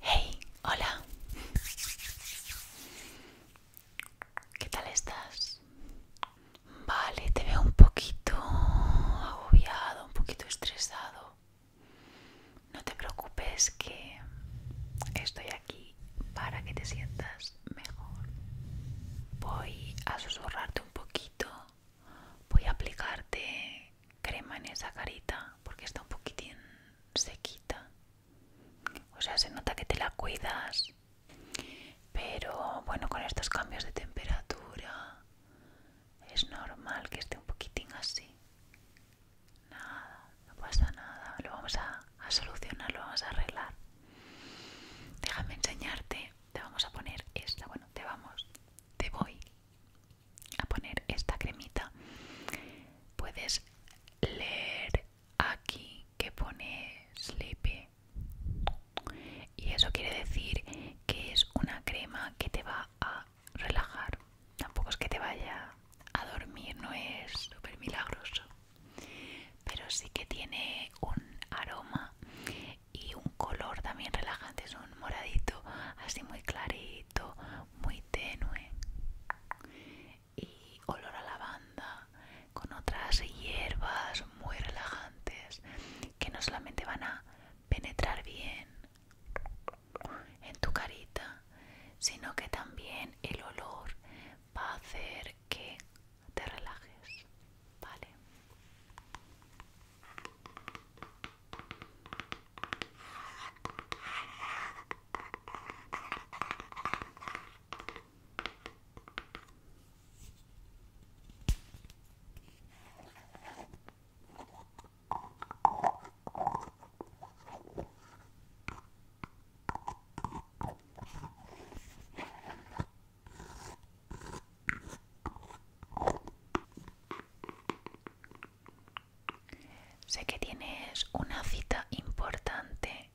Hey, hola. ¿Qué tal estás? Vale, te veo un poquito agobiado, un poquito estresado. No te preocupes que estoy aquí para que te sientas mejor. Voy a susurrarte un poquito. Voy a aplicarte crema en esa carita porque está un poquitín sequita. O sea, se nota que te la cuidas. Pero bueno, con estos cambios de temperatura es normal que esté un poquitín así. Nada, no pasa nada. Lo vamos a, solucionar, lo vamos a arreglar. Déjame enseñarte. Te vamos a poner esta. Bueno, te vamos. Te voy a poner esta cremita. Puedes leer aquí que pone sleepy. Y eso quiere decir que es una crema que te va a relajar tampoco es que te vaya a dormir, no es súper milagroso, pero sí que tiene un aroma y un color también relajante, es un moradito así muy clarito, muy tenue y olor a lavanda con otras hierbas muy relajantes que no solamente van a penetrar bien en tu carita, sino que también el olor va a hacer que te relajes, ¿vale? Sé que tienes una cita importante,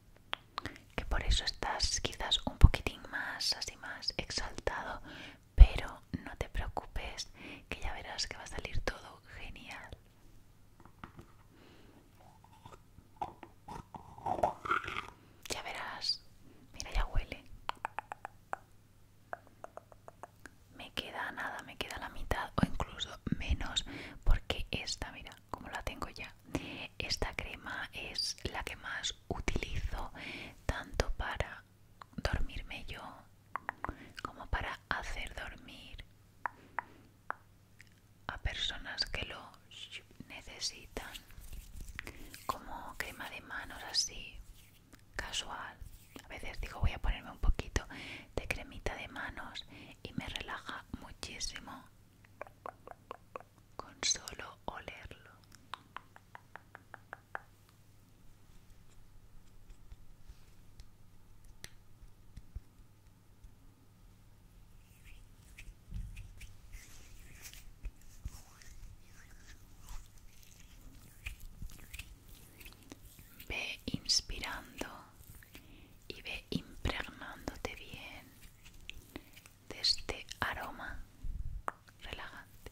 que por eso estás quizás un poquitín más, así más exaltado, pero no te preocupes, que ya verás que va a salir todo genial. Ya verás, mira, ya huele. Me queda nada, me queda la mitad o incluso menos porque esta, mira, como la tengo ya, esta crema es la que más utilizo tanto para dormirme yo como para hacer dormir a personas que lo necesitan como crema de manos así casual a veces digo voy a ponerme un poquito de cremita de manos y me relaja muchísimo con solo olerlo Ve inspirando y ve impregnándote bien de este aroma relajante.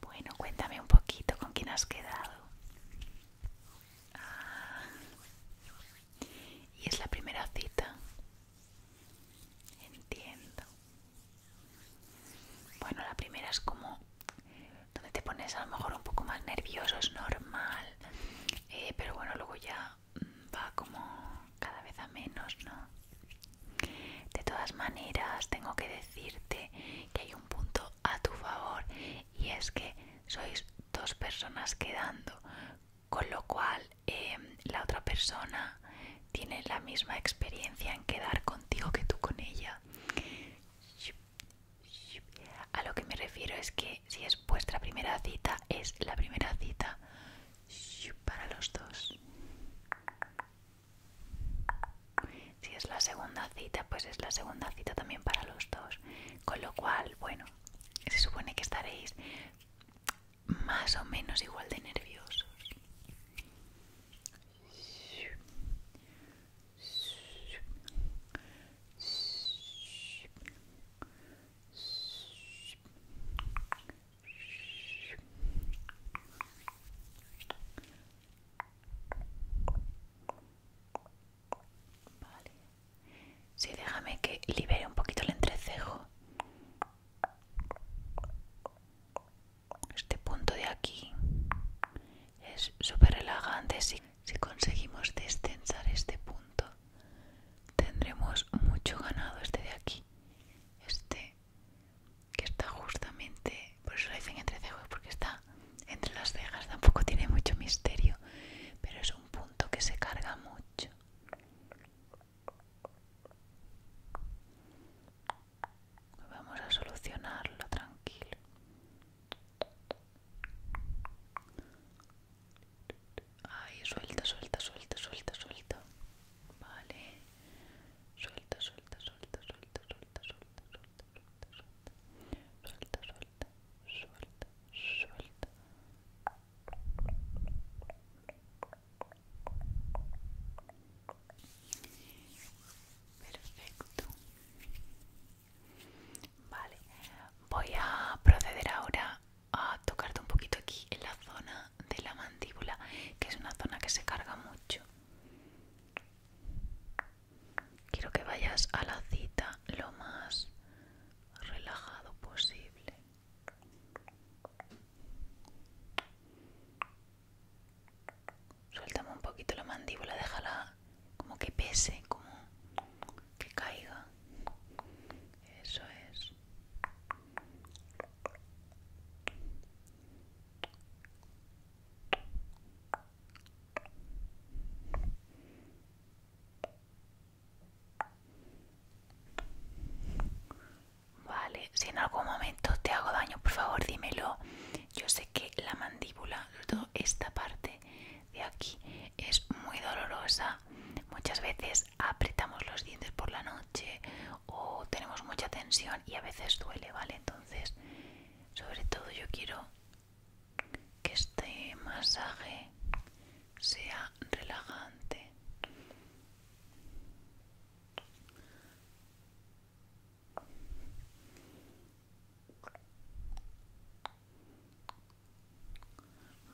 Bueno, cuéntame un poquito con quién has quedado. Ah, y es la primera cita. Entiendo. Bueno, la primera es como donde te pones a lo mejor un poco más nervioso, es normal. Eh, pero bueno, luego ya va como cada vez a menos, ¿no? De todas maneras, tengo que decirte que hay un punto a tu favor y es que sois dos personas quedando, con lo cual em, la otra persona tiene la misma experiencia en quedar contigo que tú con ella. A lo que me refiero es que si es vuestra primera cita, es la primera cita para los dos. Si es la segunda cita, pues es la segunda cita también para los dos. Con lo cual, bueno, se supone que estaréis más o menos igual de nerviosos. Vale. Sí, déjame que libere un poquito el entrecejo. Este punto de aquí es súper relajante si, conseguimos destensar este punto tendremos mucho ganado este de aquí este que está justamente por eso lo dicen entre cejas porque está entre las cejas tampoco tiene mucho misterio pero es un punto que se carga mucho vamos a solucionarlo tranquilo Ay, suelta, suelta, suelta, suelta, suelta. Vale. Suelta, suelta, suelta, suelta, suelta, suelta, suelta, suelta, suelta, suelta, suelta, suelta. Perfecto. Vale. Voy a proceder ahora a tocarte un poquito aquí en la zona de la mandíbula, que es una zona que se carga mucho. Quiero que vayas a la cita lo más relajado posible. Suéltame un poquito la mandíbula, déjala como que pese, como que caiga eso es Vale, si en algún momento te hago daño, por favor dímelo. Yo sé que la mandíbula, esta parte, de aquí es muy dolorosa. Muchas veces apretamos los dientes por la noche o tenemos mucha tensión y a veces duele, ¿vale? Entonces, sobre todo yo quiero que este masaje sea relajante.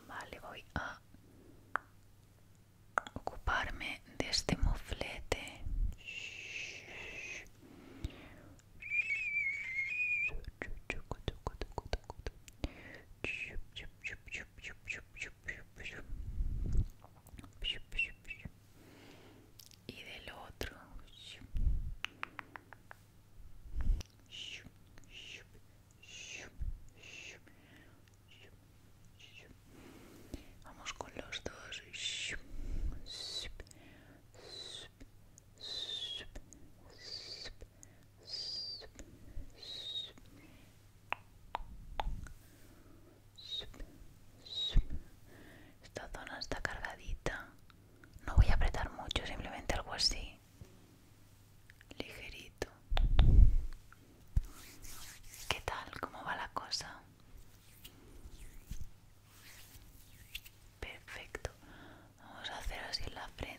Vale, voy a ocuparme de este moflete. Y del otro. Vamos con los dos. Esta zona está cargadita. No voy a apretar mucho, simplemente algo así ligerito ¿Qué tal? ¿Cómo va la cosa? Perfecto. Vamos a hacer así en la frente.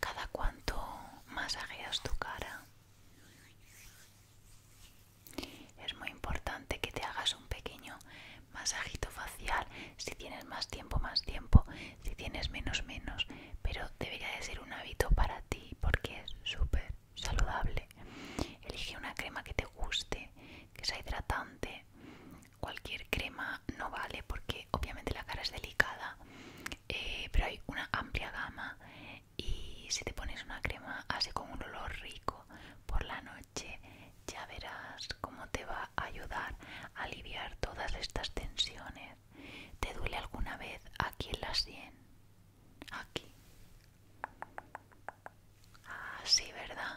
Cada cuanto masajeas tu cara. Es muy importante que te hagas un pequeño masajito facial. Si tienes más tiempo, más tiempo si tienes menos menos, pero debería de ser un hábito para ti porque es súper saludable. Elige una crema que te guste, que sea hidratante. Cualquier crema no vale porque obviamente la cara es delicada, eh, pero hay una amplia gama y si te pones una crema así con un olor rico por la noche, ya verás cómo te va a ayudar a aliviar todas estas tensiones ¿Te duele alguna vez aquí en la sien? Aquí. Ah, sí, ¿verdad?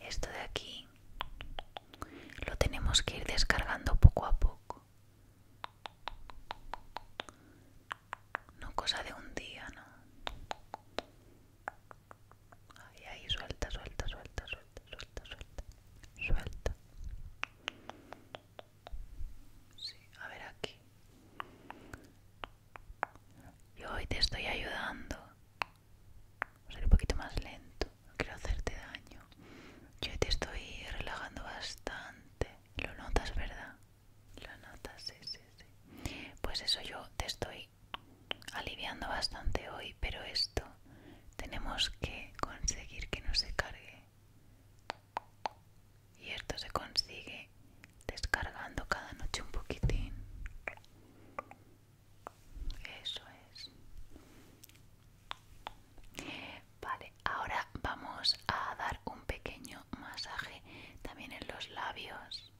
Esto de aquí lo tenemos que ir descargando poco a poco. No cosa de un día, ¿no? Ay, ahí, suelta, suelta, suelta, suelta, suelta, suelta. Suelta. Sí, a ver aquí. Yo hoy te estoy ayudando. Voy a ser un poquito más lento. No quiero hacerte daño. Yo te estoy relajando bastante. Lo notas, ¿verdad? Lo notas, sí, sí, sí. Pues eso, yo te estoy aliviando bastante hoy, pero esto tenemos que conseguir que no se cargue y esto se consigue descargando cada noche un poquitín. Eso es. Vale, ahora vamos a dar un pequeño masaje también en los labios.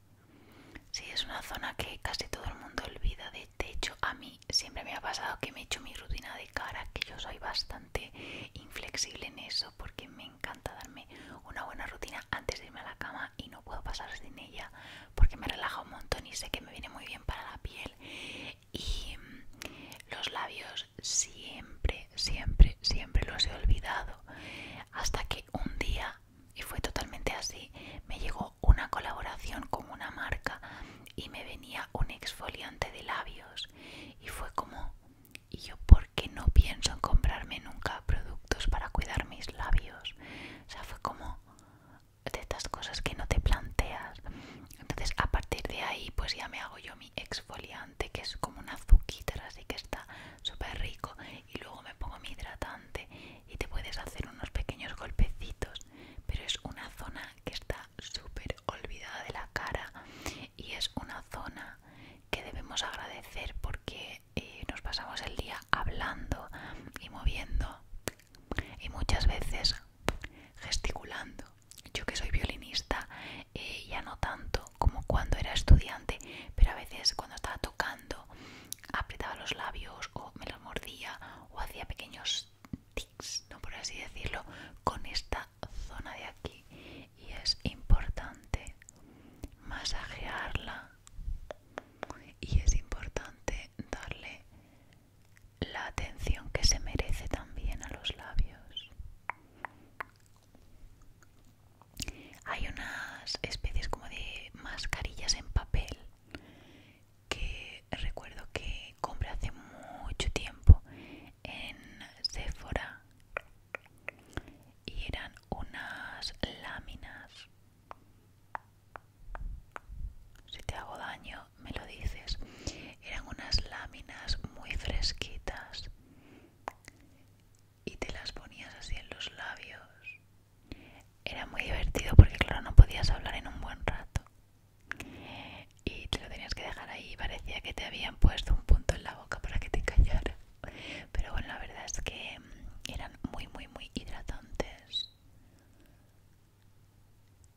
Sí, es una zona que casi todo el mundo olvida. De techo, a mí siempre me ha pasado que me he hecho mi rutina de cara, que yo soy bastante inflexible en eso porque me encanta darme una buena rutina antes de irme a la cama y no puedo pasar sin ella porque me relaja un montón y sé que me viene muy bien para la piel. Y mm, los labios siempre, siempre, siempre los he olvidado hasta que un día, y fue totalmente así, me llegó una colaboración con una marca y me venía un exfoliante de labios y fue como y yo porque no pienso en comprarme nunca productos para cuidar mis labios o sea fue como de estas cosas que no te planteas entonces a partir de ahí pues ya me hago yo mi exfoliante que es como una azuquita así que está súper rico y luego me pongo mi hidratante y te puedes hacer unos pequeños golpecitos pero es una zona que está super olvidada de la cara y es una zona que debemos agradecer porque eh, nos pasamos el día hablando y moviendo y muchas veces gesticulando. Yo que soy violinista eh, ya no tanto como cuando era estudiante, pero a veces cuando estaba tocando apretaba los labios o me los mordía o hacía pequeños tics, no por así decirlo, con esta zona de aquí y es importante masajearla y es importante darle la atención que se merece también a los labios. Hay unas especies como de mascarillas en papel que recuerdo que compré hace mucho tiempo en Sephora y eran unas láminas. Si te hago daño, me lo dices. Eran unas láminas muy fresquitas y te las ponías así en los labios. Era muy divertido porque, claro, no podías hablar en un buen rato y te lo tenías que dejar ahí parecía que te habían puesto un punto en la boca para que te callara pero bueno la verdad es que mm, eran muy muy muy hidratantes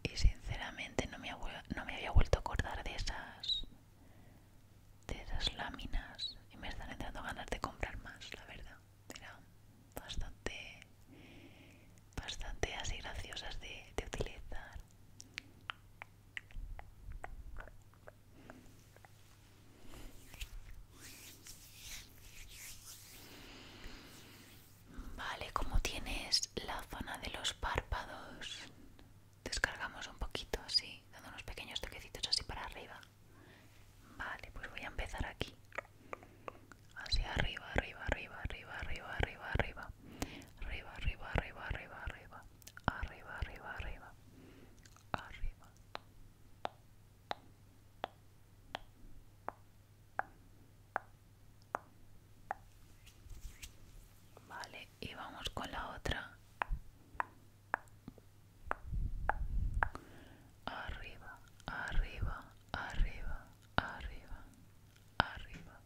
y sinceramente no me, había vuelto a acordar de esas de esas láminas y me están entrando ganas de comprar más la verdad eran bastante bastante así graciosas de utilizar Vale, como tienes la zona de los párpados, descargamos un poquito así, dando unos pequeños toquecitos así para arriba. Vale, pues voy a empezar aquí. Hacia arriba, arriba, arriba, arriba, arriba, arriba, arriba arriba, arriba, arriba, arriba, arriba, arriba, arriba, arriba, arriba. Vale, y vamos con la otra. Arriba, arriba, arriba, arriba, arriba.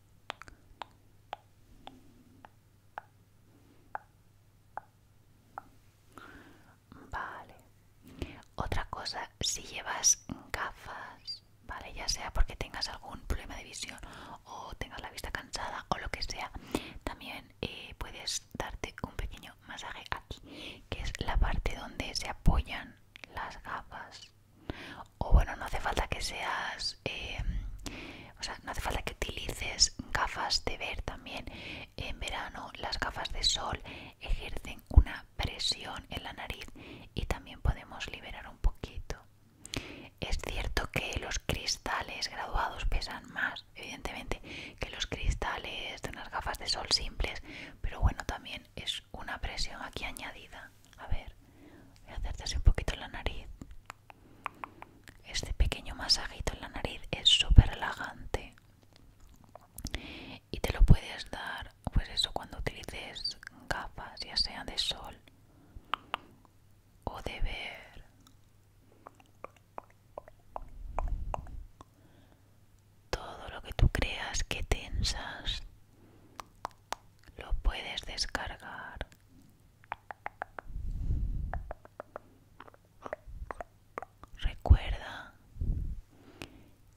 Vale. Otra cosa, si llevas gafas, vale, ya sea porque tengas algún problema de visión o tengas la vista cansada o lo que sea, también eh, puedes darte un pequeño masaje aquí, que es la parte donde se apoyan las gafas o bueno no hace falta que seas em, o sea no hace falta que utilices gafas de ver también en verano las gafas de sol ejercen una presión en la nariz y también podemos liberar un poquito es cierto que los cristales graduados pesan más evidentemente que los cristales de unas gafas de sol simples pero bueno también es una presión aquí añadida a ver, voy a hacerte así un poquito la nariz. Este pequeño masajito en la nariz es súper relajante. Y te lo puedes dar, pues eso, cuando utilices gafas, ya sea de sol o de ver. Todo lo que tú creas que tensas lo puedes descargar. Recuerda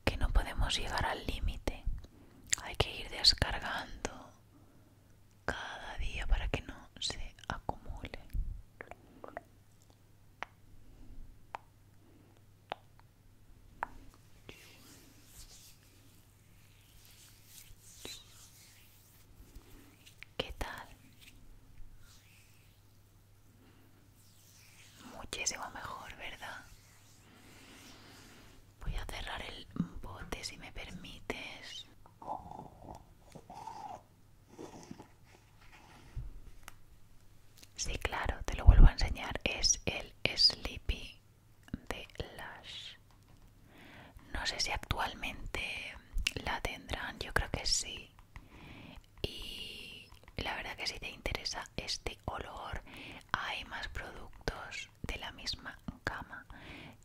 que no podemos llegar al límite. Hay que ir descargando cada día para que no se acumule. ¿Qué tal? Muchísimo mejor, ¿verdad? Voy a cerrar el bote si me permites. Sí, claro, te lo vuelvo a enseñar. Es el Sleepy de Lash. No sé si actualmente la tendrán, yo creo que sí. Y la verdad que si te interesa este olor, hay más productos de la misma cama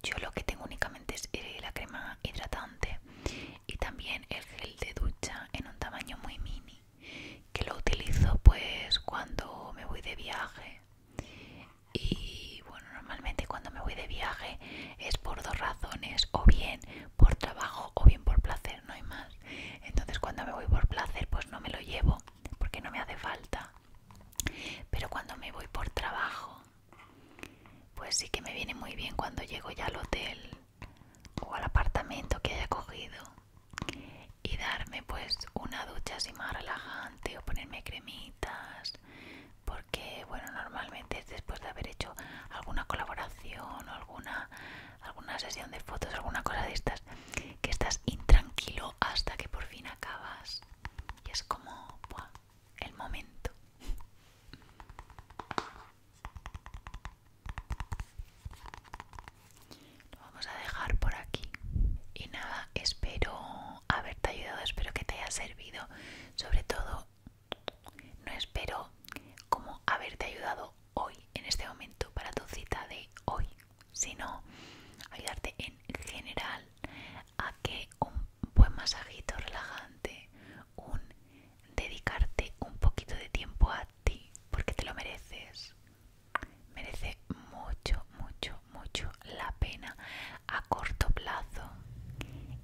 Yo lo que tengo únicamente es la crema hidratante y también el gel de ducha en un tamaño muy mini, que lo utilizo pues cuando me voy de viaje y bueno normalmente cuando me voy de viaje es por dos razones o bien por trabajo o bien por placer no hay más entonces cuando me voy por placer pues no me lo llevo porque no me hace falta pero cuando me voy por trabajo pues sí que me viene muy bien cuando llego ya al hotel o al apartamento que haya cogido y darme pues una ducha así más relajante o ponerme cremitas porque bueno normalmente es después de haber hecho alguna colaboración o alguna alguna sesión de fotos alguna cosa de estas que estás intranquilo hasta que por fin acabas y es como el momento lo vamos a dejar por aquí y nada espero haberte ayudado, espero que te haya servido. Sobre todo, no espero como haberte ayudado hoy, en este momento, para tu cita de hoy, sino ayudarte en general a que un buen masajito relajante, un dedicarte un poquito de tiempo a ti, porque te lo mereces, merece mucho, mucho, mucho la pena a corto plazo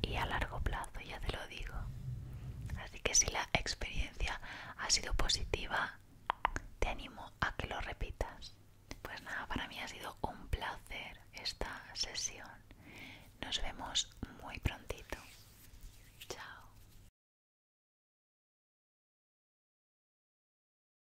y a largo plazo, ya te lo digo. Así que si la experiencia ha sido positiva, te animo a que lo repitas. Pues nada, para mí ha sido un placer esta sesión. Nos vemos muy prontito. Chao.